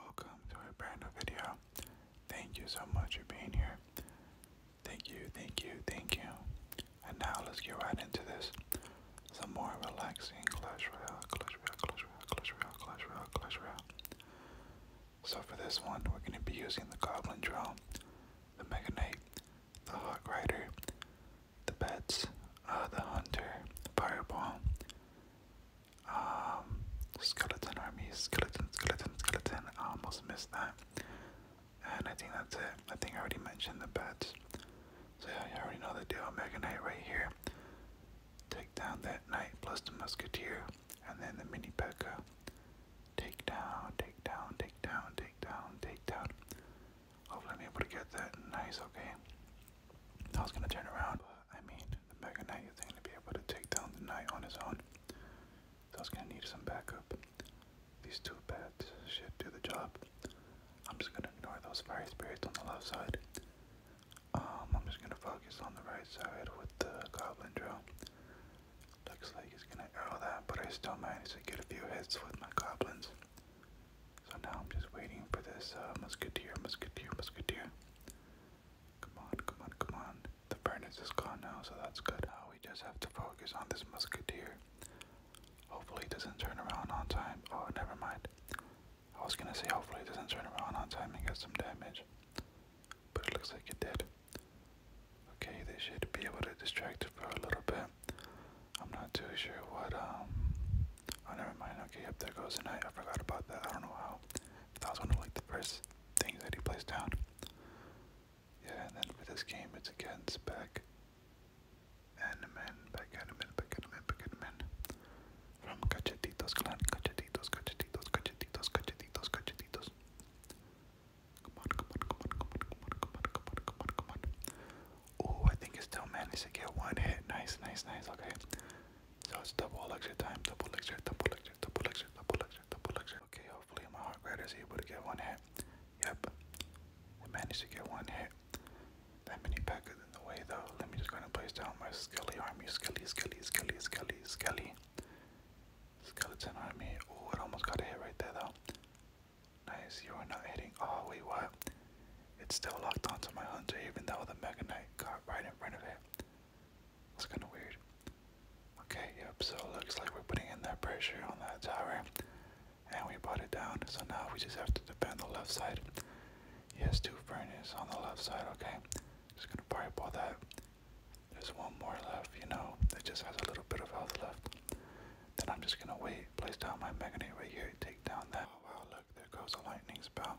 Welcome to a brand new video. Thank you so much for being here. Thank you, thank you, thank you. And now let's get right into this. Some more relaxing Clash Royale, Clash Royale, Clash Royale, Clash Royale, Clash Royale, So for this one, we're going to be using the Goblin Drone, the Mega Knight, the Hawk Rider, the Bets, uh, the Hunter, the Fireball, um, skeleton army, skeleton, skeleton, skeleton. I almost missed that. And I think that's it. I think I already mentioned the bats. So yeah, you already know the deal. Mega Knight right here. Take down that knight plus the musketeer. And then the mini P.E.K.K.A. Take down, take down, take down, take down, take down. Hopefully I'm able to get that. Nice, okay. I was gonna turn around. I mean, the Mega Knight is going to be able to take down the Knight on his own. So going to need some backup. These two bats should do the job. I'm just going to ignore those Fire Spirits on the left side. Um, I'm just going to focus on the right side with the Goblin Drill. Looks like he's going to arrow that, but I still managed to get a few hits with my Goblins. So now I'm just waiting for this uh, Musketeer, Musketeer, Musketeer. Come on, come on, come on. The furnace is gone now, so that's good. Now ah, we just have to focus on this musketeer. Hopefully it doesn't turn around on time. Oh, never mind. I was gonna say hopefully it doesn't turn around on time and get some damage. But it looks like it did. Okay, they should be able to distract it for a little bit. I'm not too sure what um Oh, never mind. Okay, yep, there goes the knight. I forgot about that. I don't know how. that was one of like the first things that he placed down. Yeah, and then for this game, it's against spec. Animan, back animan, back animan, back animan. From Cachetitos Clan, Cachetitos, Cachetitos, Cachetitos, Cachetitos, Cachetitos. Come on, come on, come on, come on, come on, come on, come on, come on, Oh, I think it still managed to get one hit. Nice, nice, nice. Okay. So it's double lecture time, double lecture, double lecture, double lecture, double lecture, double lecture. Okay, hopefully my heart rate is able to get one hit. Yep. I managed to get one hit. That mini pack is in the way though. Let me just go and place down my skelly army. Skelly, skelly, skelly, skelly, skelly. Skeleton army. Oh, it almost got a hit right there though. Nice, you are not hitting. Oh, wait, what? It's still locked onto my hunter even though the meganite got right in front of it. That's kinda weird. Okay, yep, so it looks like we're putting in that pressure on that tower. And we brought it down, so now we just have to defend the left side. He has two furnaces on the left side, okay? Just gonna fireball that. There's one more left, you know, it just has a little bit of health left. Then I'm just gonna wait, place down my meganite right here, take down that. Oh wow, look, there goes a lightning spell.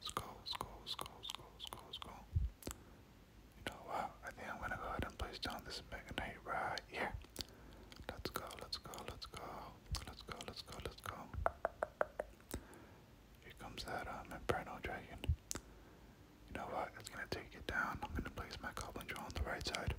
Let's go, let's go, let's go, let's go, let's go, let's go. You know what? I think I'm gonna go ahead and place down this Mega Knight right here. Let's go, let's go, let's go. Let's go, let's go, let's go. Here comes that um, Inferno Dragon. You know what? It's gonna take it down. I'm gonna place my Goblin on the right side.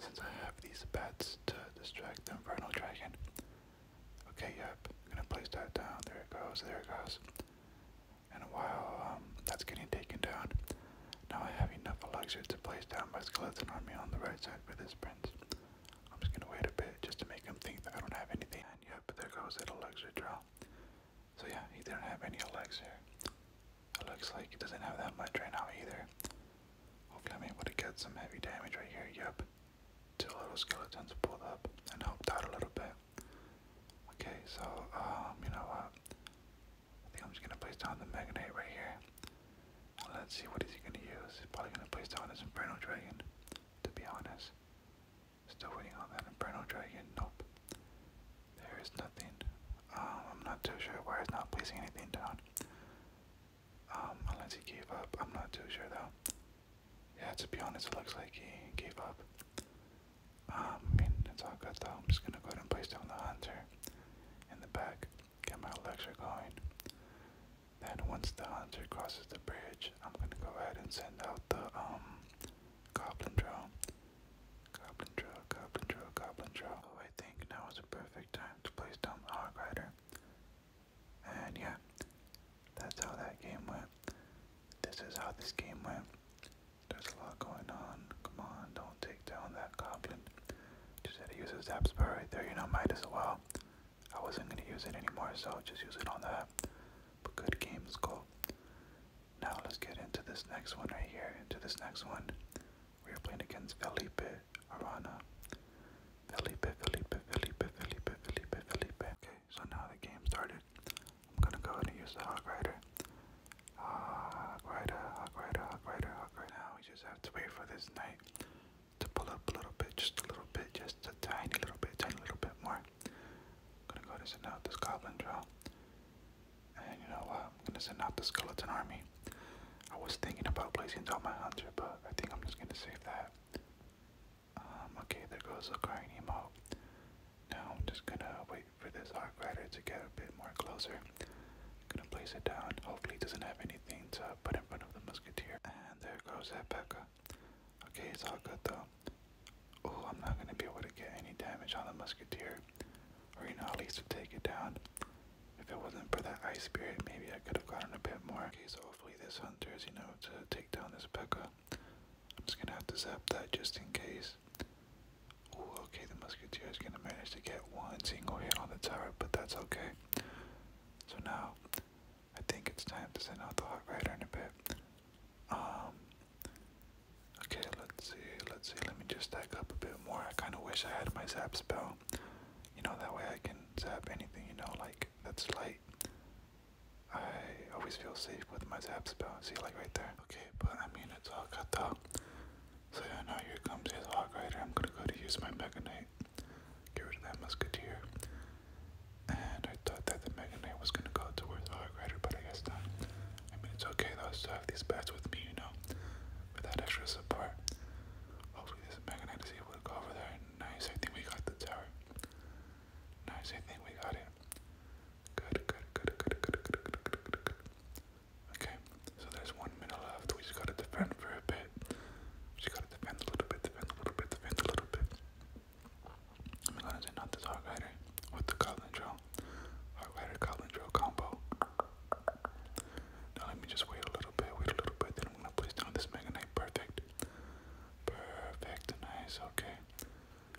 Since I have these bats to distract the Inferno Dragon, Okay, yep, gonna place that down. There it goes, there it goes. And while um, that's getting taken down, now I have enough elixir to place down my skeleton army on the right side for this prince. I'm just gonna wait a bit just to make him think that I don't have anything. And yep, there goes that elixir draw. So yeah, he didn't have any elixir. It looks like he doesn't have that much right now either. Hopefully I'm able to get some heavy damage right here, yep two little skeletons pulled up and helped out a little bit. Okay, so, um, you know what? I think I'm just gonna place down the Magnate right here. let's see what is he gonna use. He's probably gonna place down his Inferno Dragon, to be honest. Still waiting on that Inferno Dragon, nope. There is nothing. Um, I'm not too sure why he's not placing anything down. Um, unless he gave up. I'm not too sure though. Yeah, to be honest, it looks like he gave up. Um, I mean, it's all good though. I'm just gonna go ahead and place down the hunter in the back, get my elixir going. Then once the hunter crosses the bridge, I'm gonna go ahead and send out the um goblin drill. Goblin drill, goblin drill, goblin drill. Oh, I think now is a perfect time to place down the hog rider. And yeah, that's how that game went. This is how this game went. There's a lot going on. Come on, don't take down that goblin. Just had to use his zap spell right there, you know, might as well. I wasn't gonna use it anymore, so just use it on that. But good game, Skull. Now let's get into this next one right here. Into this next one. We are playing against Felipe Arana. Felipe, Felipe, Felipe, Felipe, Felipe, Felipe. Okay, so now the game started. I'm gonna go and use the Hog Rider. Ah, Hog Rider, Hog Rider, Hog Rider, Hog Rider. Now we just have to wait for this knight to pull up a little bit, just a little bit, just a tiny little bit, tiny little bit more. gonna go ahead send out this Goblin Draw. And you know what? I'm gonna send out the Skeleton Army. I was thinking about placing down my hunter, but I think I'm just gonna save that. Um, okay, there goes the crying emote. Now I'm just gonna wait for this Arc to get a bit more closer. I'm gonna place it down. Hopefully, it doesn't have anything to put in front of the Musketeer. And there goes that Pekka. Okay, it's all good though. Oh, I'm not gonna be able to get any damage on the Musketeer, or you know, at least to take it down. If it wasn't for that ice spirit, maybe I could have gotten a bit more. Okay, so hopefully this hunter is, you know, to take down this Pekka. I'm just gonna have to zap that just in case. Oh, okay, the musketeer is gonna manage to get one single hit on the tower, but that's okay. So now, I think it's time to send out the hot rider in a bit. Um, okay, let's see, let's see, let me just stack up a bit more. I kind of wish I had my zap spell you know, that way I can zap anything, you know, like that's light. I always feel safe with my zap spell. See, like right there. Okay, but I mean, it's all cut out. So yeah, now here comes his Hawk Rider. I'm gonna go to use my meganite, Get rid of that Musketeer. And I thought that the meganite was gonna go towards the Hawk Rider, but I guess not. I mean, it's okay though, I still have these bats with me, you know, with that extra support. Hopefully this Megan is able to go over there. Nice, I think we got the tower. Nice, I think we got it. Good, good, good, good, good, good, good, good, good, Okay, so there's one minute left. We just gotta defend for a bit. We just gotta defend a little bit, defend a little bit, defend a little bit. I'm gonna say not this Hog Rider with the Goblin Drill. Hog Rider Goblin Drill combo. Now let me just wait a little bit, wait a little bit, then I'm gonna place down this Meganite. Perfect. Perfect, nice, okay.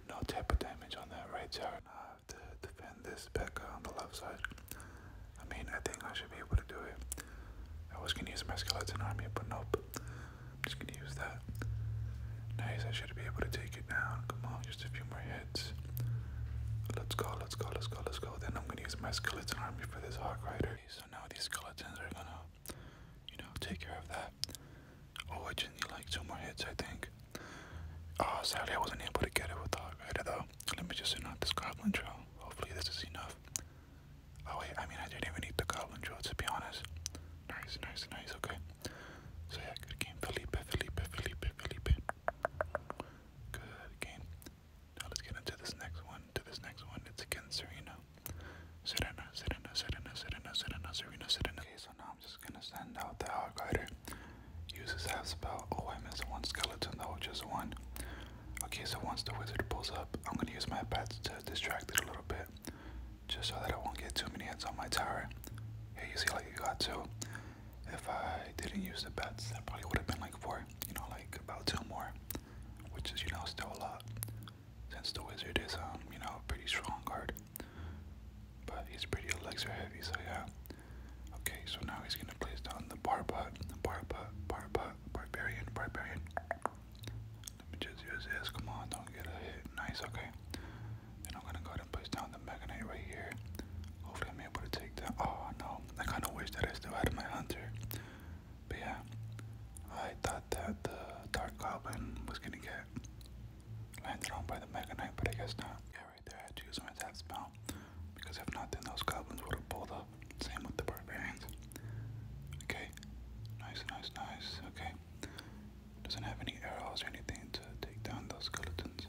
No type of damage on that right tower. Now I have to defend this Pekka on the left side. I mean, I think I should be able to do it. I was gonna use my skeleton army, but nope. I'm just gonna use that. Nice, I should be able to take it down. Come on, just a few more hits. Let's go, let's go, let's go, let's go. Then I'm gonna use my skeleton army for this hawk rider. So now these skeletons are gonna, you know, take care of that. Oh, I just need like two more hits, I think. Oh, sadly I wasn't able to get it with the hawk rider though. Let me just send out this goblin trail. Hopefully this is enough. Oh wait, I mean I didn't even need the goblin drill to be honest. Nice, nice, nice, okay. So yeah, good game, Felipe, Felipe, Felipe, Felipe. Good game. Now let's get into this next one. To this next one, it's against Serena. Serena, Serena, Serena, Serena, Serena, Serena, Okay, so now I'm just gonna send out the Hog Use Uses half spell. Oh, I missed one skeleton though, just one. Okay, so once the wizard pulls up, I'm gonna use my pets to distract it a little bit. Just so that I won't get too many hits on my tower. Here you see like you got two. If I didn't use the bets, that probably would have been like four, you know, like about two more, which is, you know, still a lot. Since the wizard is, um, you know, pretty strong guard, but he's pretty are heavy, so yeah. Okay, so now he's gonna place down the barbot, the barbot, barbot, barbarian, barbarian. Let me just use this. Come on, don't get a hit. Nice. Okay. Then I'm gonna go ahead and place down the. Mega Knight right here. Hopefully I'm able to take that. Oh no, I kinda wish that I still had my hunter. But yeah, I thought that the Dark Goblin was gonna get landed on by the Mega Knight, but I guess not. Yeah, right there I had to use my attack spell. Because if not, then those goblins would have pulled up. Same with the barbarians. Okay, nice, nice, nice. Okay, doesn't have any arrows or anything to take down those skeletons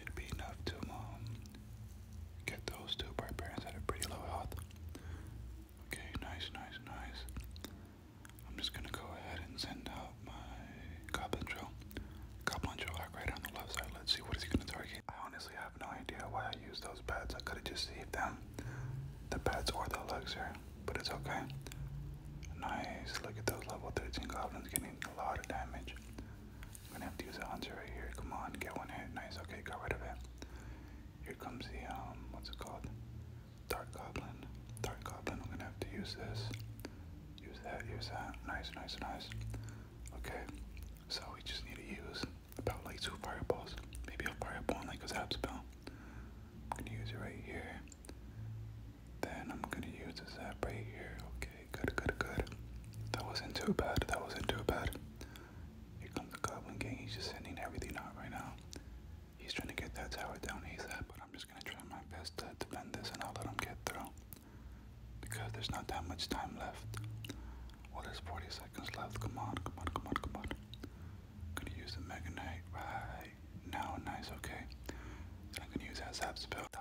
should be enough to um, get those two. My parents had a pretty low health. Okay, nice, nice, nice. I'm just gonna go ahead and send out my goblin drill. Goblin drill right on the left side. Let's see what is he gonna target. I honestly have no idea why I used those pads. I could have just saved them. The pads or the elixir, but it's okay. Nice. Look at those level 13 goblins getting a lot of damage. I'm gonna have to use a hunter right here. Come on, get one hit. Nice. Okay, got rid of it. Here comes the um, what's it called? Dark goblin. Dark goblin. I'm gonna have to use this. Use that. Use that. Nice. Nice. Nice. Okay. So we just need to use about like two fireballs. Maybe a fireball and like a zap spell. I'm gonna use it right here. Then I'm gonna use this app right here. Okay, good, good, good. That wasn't too bad. That wasn't too bad. Here comes the Goblin Gang. He's just sending everything out right now. He's trying to get that tower down ASAP, but I'm just gonna try my best to defend this and I'll let him get through. Because there's not that much time left. Well, there's 40 seconds left. Come on, come on, come on, come on. I'm gonna use the Mega Knight right now. Nice, okay. Then I'm gonna use that Zap spell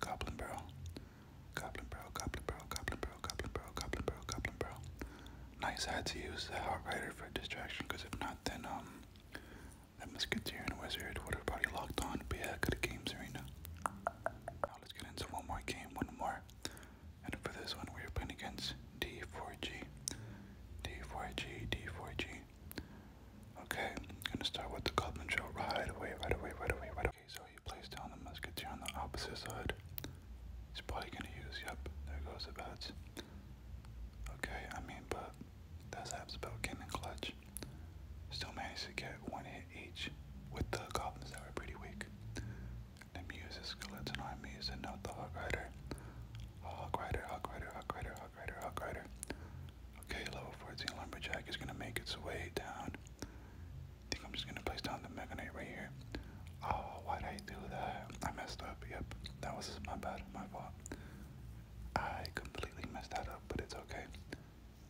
Goblin bro, Goblin bro, Goblin bro, Goblin bro, Goblin bro, Goblin Barrel, Goblin Barrel. Nice, had to use the Outrider for distraction, because if not, then, um, that Musketeer and Wizard would have probably locked on. Be yeah, good game, arena. Now let's get into one more game, one more. And for this one, we are playing against D4G. D4G, D4G. Okay, I'm gonna start with the Goblin bro right away, right away, right away, right away. Okay, so he placed down the musketeer on the opposite side. He's probably gonna use, yep, there goes the bats. Okay, I mean, but those how spell came in clutch. Still managed to get one hit each with the goblins that were pretty weak. Let me use the skeleton on me, and not the hog rider. Oh, hog rider, hog rider, hog rider, hog rider, hog rider. Okay, level 14 lumberjack is gonna make its way down. I think I'm just gonna place down the Mega Knight right here. Oh, why did I do that? I messed up. Yep, that was my bad, my fault. I completely messed that up, but it's okay.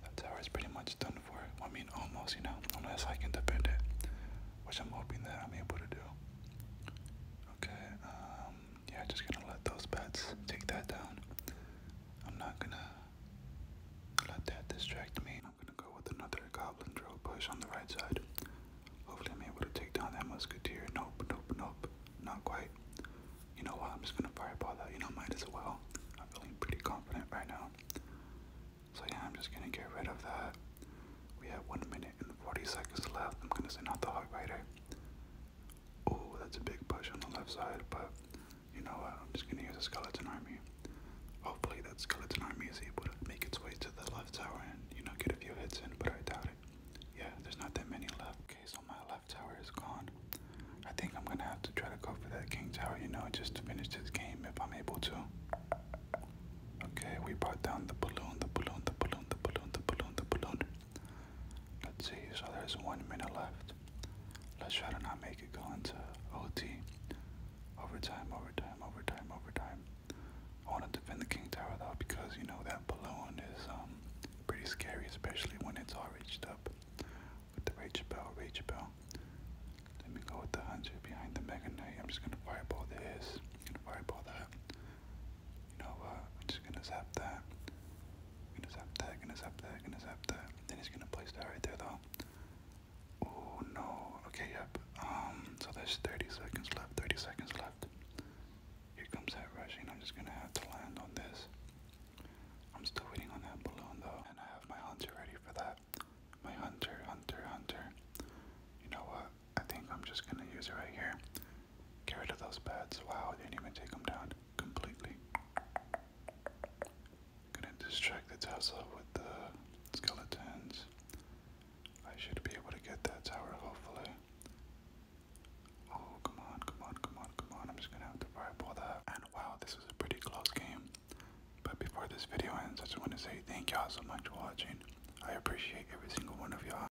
That tower is pretty much done for. I mean, almost, you know, unless I can defend it, which I'm hoping that I'm able to do. Okay, um, yeah, just gonna let those bets take that down. I'm not gonna let that distract me. I'm gonna go with another goblin drill push on the right side. Hopefully, I'm able to take down that musketeer. Nope, nope, nope, not quite. You know what? I'm just gonna fireball that. You know, might as well. I'm feeling pretty confident right now. So, yeah, I'm just gonna get rid of that. We have 1 minute and 40 seconds left. I'm gonna say not the heartbreaker. Oh, that's a big push on the left side, but you know what, I'm just gonna use a skeleton army. Hopefully that skeleton army is able to make its way to the left tower and, you know, get a few hits in, but I doubt it. Yeah, there's not that many left. Okay, so my left tower is gone. I think I'm gonna have to try to go for that king tower, you know, just to finish this game if I'm able to. Okay, we brought down the balloon, the balloon, the balloon, the balloon, the balloon, the balloon. Let's see, so there's one minute left. Let's try to not make it go into OT. Overtime, overtime, overtime, overtime. I want to defend the King Tower though because you know that balloon is um pretty scary, especially when it's all reached up with the Rage Bell, Rage Bell. Let me go with the Hunter behind the Mega Knight. I'm just gonna all this, I'm gonna fireball that. You I'm just gonna zap that. gonna zap that, gonna zap that, gonna zap that. Then he's gonna place that right there though. Oh no. Okay, yep. Um so there's 30 seconds left, 30 seconds left. Here comes that rushing. I'm just gonna have to land on this. I'm still waiting on that balloon though, and I have my hunter ready for that. My hunter, hunter, hunter. You know what? I think I'm just gonna use it right here. Get rid of those bats. Wow, I didn't even take them down completely. Gonna distract the Tesla with the skeletons. I should be able to get that tower, hopefully. Oh, come on, come on, come on, come on. I'm just gonna have to fireball that. And wow, this was a pretty close game. But before this video ends, I just want to say thank y'all so much for watching. I appreciate every single one of y'all.